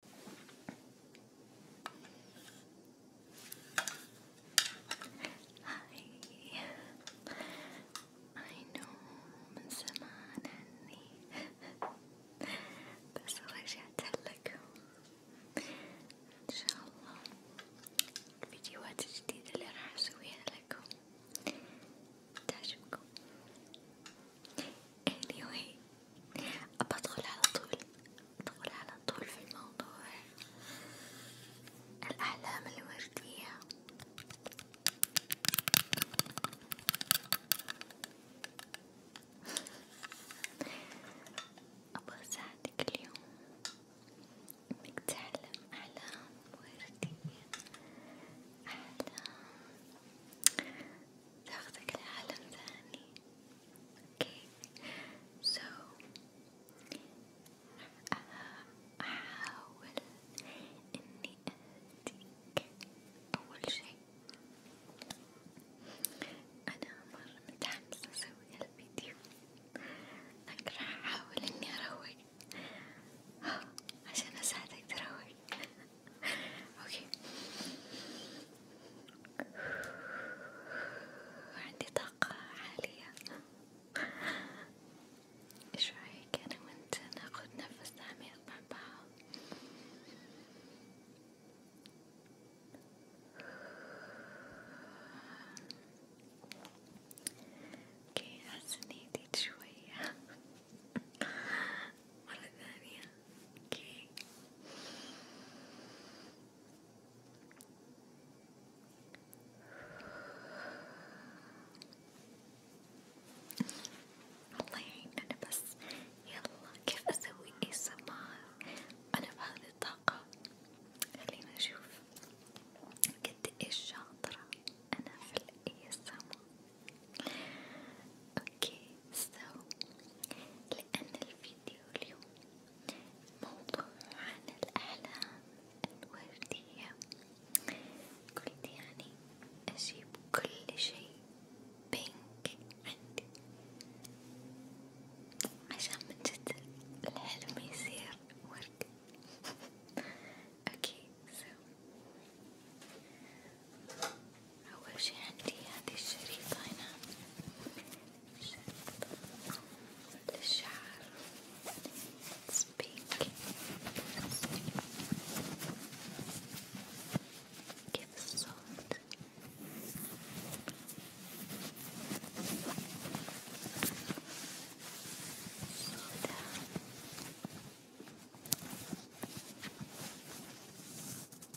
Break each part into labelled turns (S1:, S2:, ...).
S1: هاي I know من زمان عني بس رجعت لكم إن شاء الله الفيديوهات الجديدة اللي راح أسويها لكم تعجبكم anyway أدخل على طول أدخل على طول في الموضوع الأحلام الوردية أبغى أساعدك اليوم إنك تعلم أحلام وردية أحلام تاخذك لعالم ثاني اوكي سو احاول اني اهديك اول شي انا مرة متحمسة اسوي هالفيديو لكن راح احاول اني اروق عشان اساعدك تروق اوكي عندي طاقة عالية ايش رايك انا وانت ناخد نفس عميق مع بعض اوكي حاسة اني شوية مرة ثانية اوكي الله يعيننا بس يلا كيف اسوي اي انا بهذه الطاقة خلينا نشوف قد ايش شاطرة انا في الاي اوكي سو لان الفيديو اليوم موضوع عن الاحلام الوردية قلت يعني اجيب كل شيء بينك عندي عشان من جد الحلم يصير ورد اوكي سو أول شي عندي هذه الشريطة هنا شريطة للشعر سبيك كيف الصوت صوتها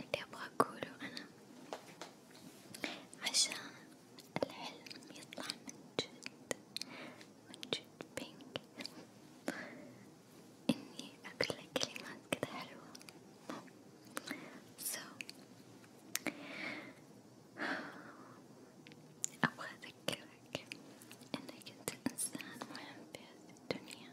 S1: اللي أبغى أقوله أنا عشان الحلم يطلع من جد من جد بينك إني أقول لك كلمات كذا حلوة so أبغى أذكرك إنك أنت إنسان مهم في هذه الدنيا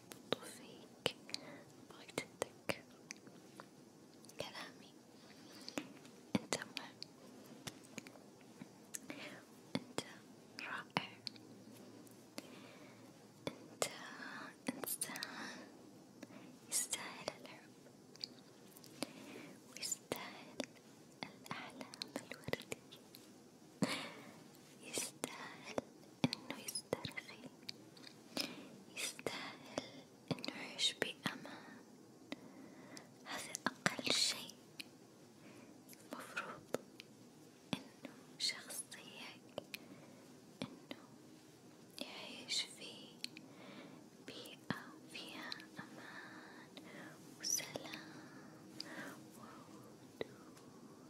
S1: برضو فيك بغيت تتذكر كلامي انتبه انت رائع انت انسان يستاهل الحب ويستاهل الأحلام الوردية يستاهل انه يسترخي يستاهل انه يعيش بأمان هذا اقل شيء مفروض انه شخصيك انه يعيش في بيئة فيها امان وسلام وهدوء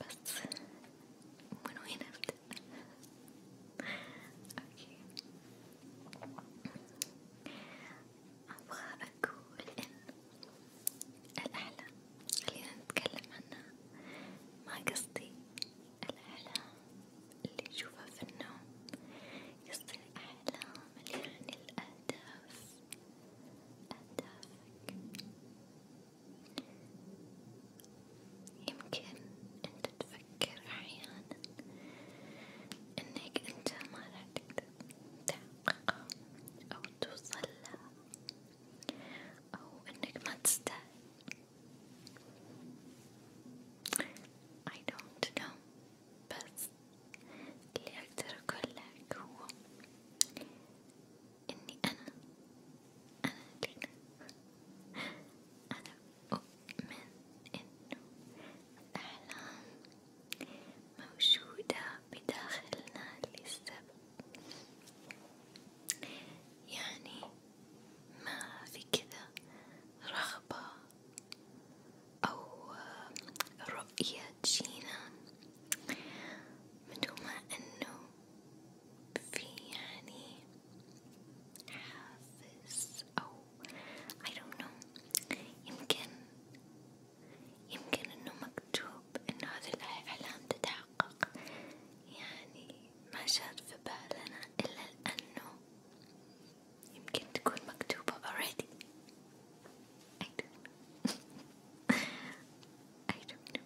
S1: بس من وين أبدأ؟ أوكي أبغى أقول إن الأحلام خلينا نتكلم عنها ما قصدي الأحلام اللي نشوفها في النوم قصدي الأحلام اللي يعني الأهداف أهدافك يمكن أنت تفكر أحيانا إنك أنت ما راح تقدر تحققها أو توصل لها أو إنك ما تستاهل I don't know بس اللي أقدر أقول لك هو إني أنا أنا لينا أنا أؤمن إنه الأحلام موجودة بداخلنا للسبب يعني ما في كذا رغبة أو رؤية جينا من ما أنه في يعني حافز أو I don't know يمكن يمكن إنه مكتوب إنه هذا الإعلان تتحقق يعني ما جات في بالنا إلا لأنه يمكن تكون مكتوبة already I don't know. I don't know.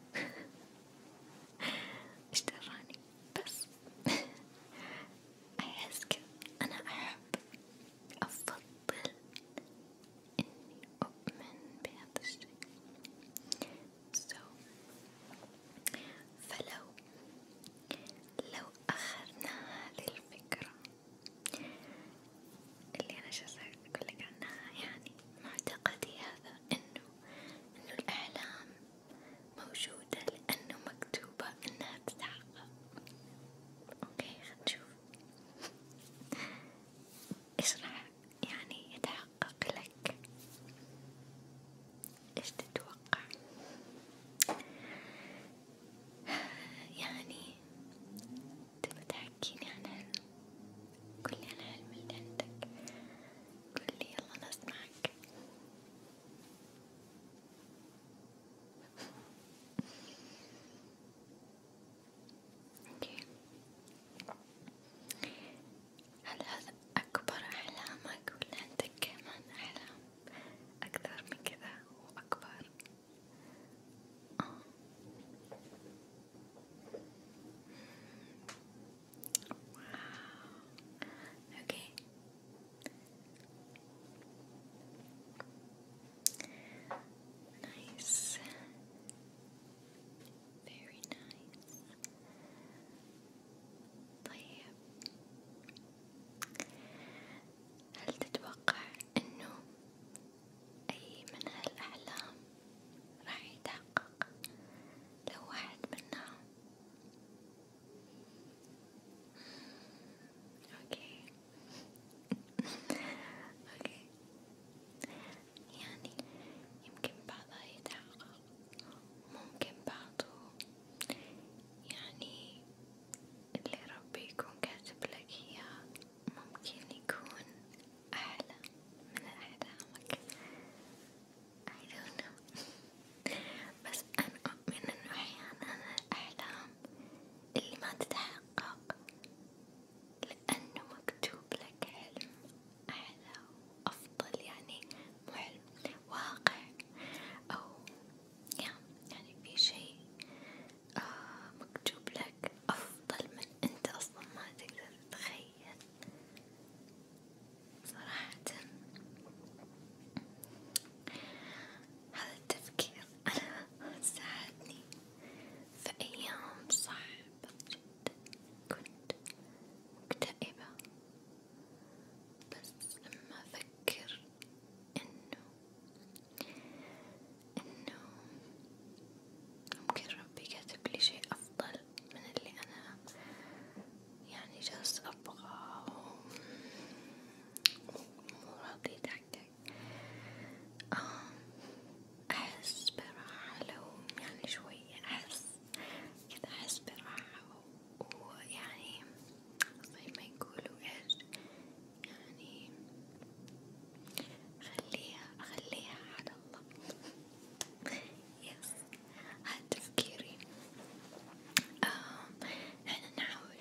S1: İşte Rani. Bas. أحس أنا أحب أفضل إني أؤمن بهذا الشيء. So فلو لو أخذنا هذه الفكرة اللي أنا شسأل أقولك عنها يعني معتقدي هذا إنه إنه الأحلام موجودة لأنه مكتوبة إنها تتحقق، أوكي خلينا نشوف إيش راح يعني يتحقق لك، إيش تتوقع؟ يعني تبى تحكيني عن علم قولي عن العلم اللي عندك قولي يلا نسمعك اوكي هل هذا أكبر أحلامك ولا عندك كمان أحلام أكثر من كذا وأكبر؟ Oh. Wow. Okay. Nice. Very nice. طيب هل تتوقع انه أي من هالأحلام راح يتحقق لو واحد منا أوكي أوكي يعني يمكن بعضها يتحقق ممكن بعضه يعني اللي ربي يكون كاتب لك إياه ممكن يكون أحلى من أحلامك I don't know بس أنا أؤمن إنه أحيانا الأحلام اللي ما تتحقق لأنه مكتوب لك حلم أحلى وأفضل يعني مو حلم واقع أو يعني في شيء آه مكتوب لك حقك أفضل من أنت أصلا ما تقدر تتخيل صراحة هذا التفكير أنا ساعدني في أيام صعبة جدا كنت مكتئبة بس لما أفكر إنه إنه ممكن ربي كاتب لي شيء أفضل من اللي أنا يعني جالس أبغاه مو راضي يتحقق آه، أحس براحة لو يعني شوية أحس كذا أحس براحة ويعني زي ما يقولوا إيش يعني خليها خليها على الله يس هاد تفكيري آه احنا نحاول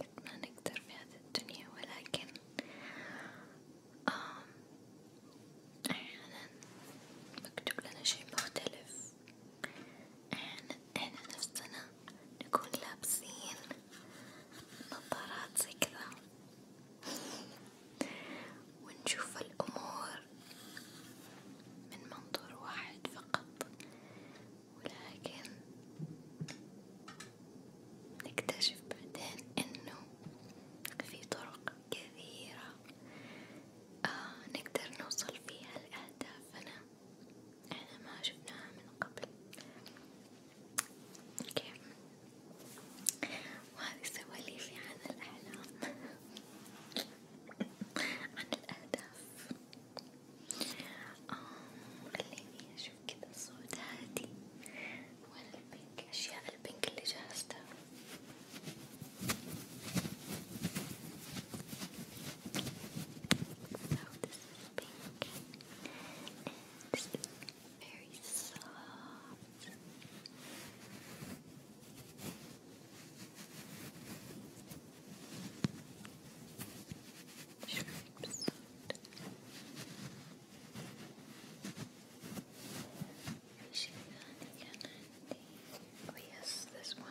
S1: قد ما نقدر في هذه الدنيا ولكن آه احيانا مكتوب لنا شي مختلف احنا احنا نفسنا نكون لابسين نظارات زي كذا ونشوف الأمور من منظور واحد فقط ولكن نكتشف بعدين إنه في طرق كثيرة آه نقدر نوصل فيها لأهدافنا إحنا ما شفناها من قبل اوكي وهذي سواليفي عن الأحلام عن الأهداف خليني أشوف كذا صوت هادي والبنك أشياء البنك اللي جهزتها So this is pink and this is very soft. Shrimp sound. yes, this one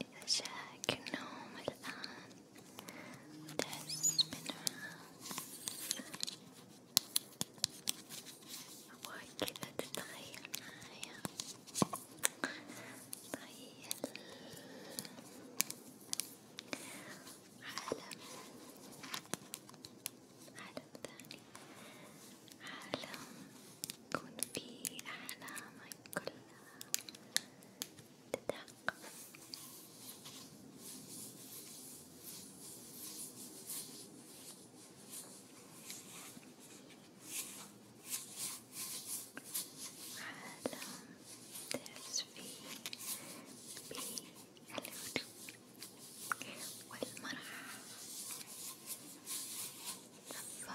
S1: إذا جاك النوم الآن وتحس بنوع أبغاك كذا تتخيل معايا تخيل عالم عالم ثاني عالم يكون فيه أحلامك كلها تتحقق عالم تحس فيه بالهدوء والمرح والفرح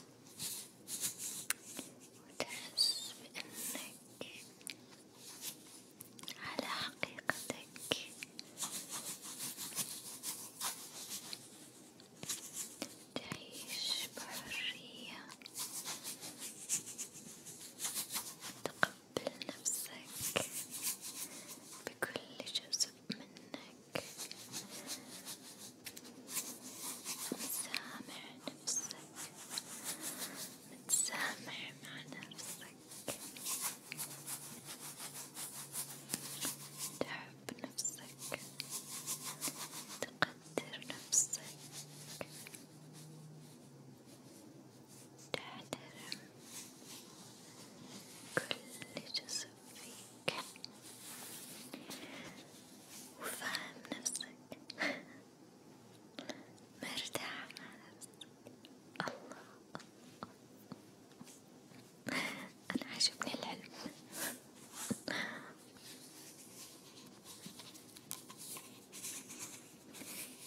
S1: وتحس بأنك على حقيقتك تعيش بحرية تقبل نفسك بكل جزء منك متسامح نفسك متسامح مع نفسك تحب نفسك تقدر نفسك تحترم كل جزء هيك وفاهم نفسك مرتاح مع نفسك الله أنا عجبني العلم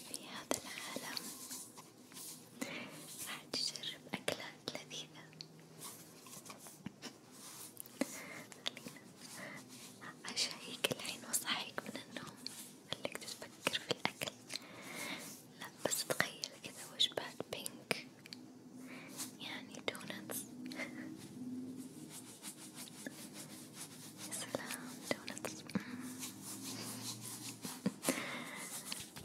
S1: في هذا العالم راح تجرب أكلات لذيذة أشهيك الحين وصحيك من النوم خليك تفكر في الأكل لا بس تخيل كذا وجبات بينك يعني دونتس يا سلام دونتس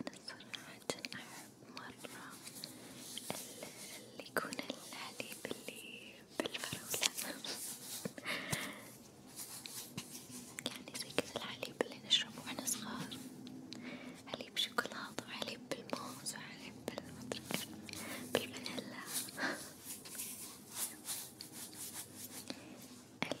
S1: أنا صراحة أحب مرة اللي يكون الحليب اللي بالفروسة يعني زي كذا الحليب اللي نشربه واحنا صغار حليب شوكولاتة وحليب بالموز وحليب بالمدرك بالفانيلا إلا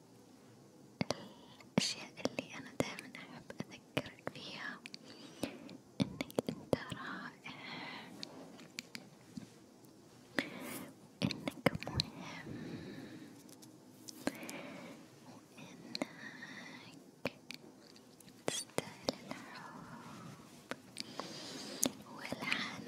S1: الأشياء اللي أنا دايما أحب أذكرك فيها إنك أنت رائع وإنك مهم وإنك تستاهل الحب والحنان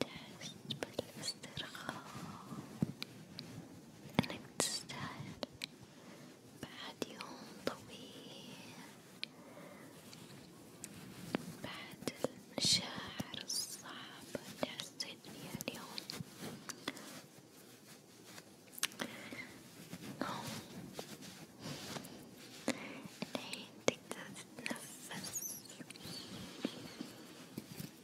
S1: تحس بالاسترخاء إنك تستاهل بعد يوم طويل بعد المشاعر الصعبة اللي حسيت فيها اليوم الحين تقدر تتنفس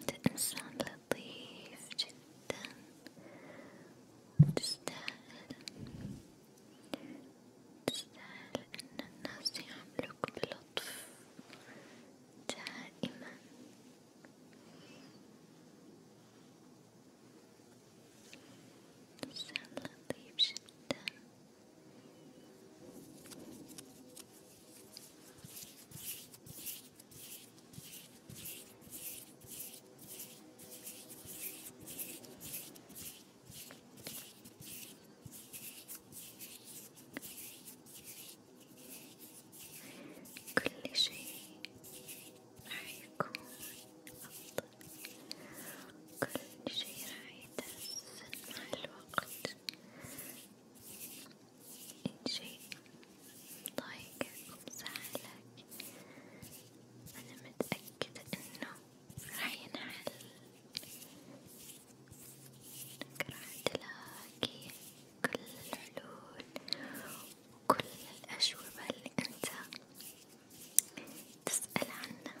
S1: أنت إنسان لطيف جدا وتستاهل تستاهل إن الناس يعاملوك بلطف دائما إنسان لطيف جدا كل شيء راح يكون أفضل، كل شيء راح يتحسن مع الوقت، إن شيء ضايقك ومزعلك أنا متأكدة إنه راح ينحل، إنك راح تلاقي كل الحلول وكل الأجوبة اللي أنت تسأل عنها.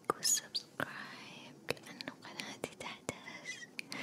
S1: لايك وسبسكرايب لأنه قناتي تحتاج باي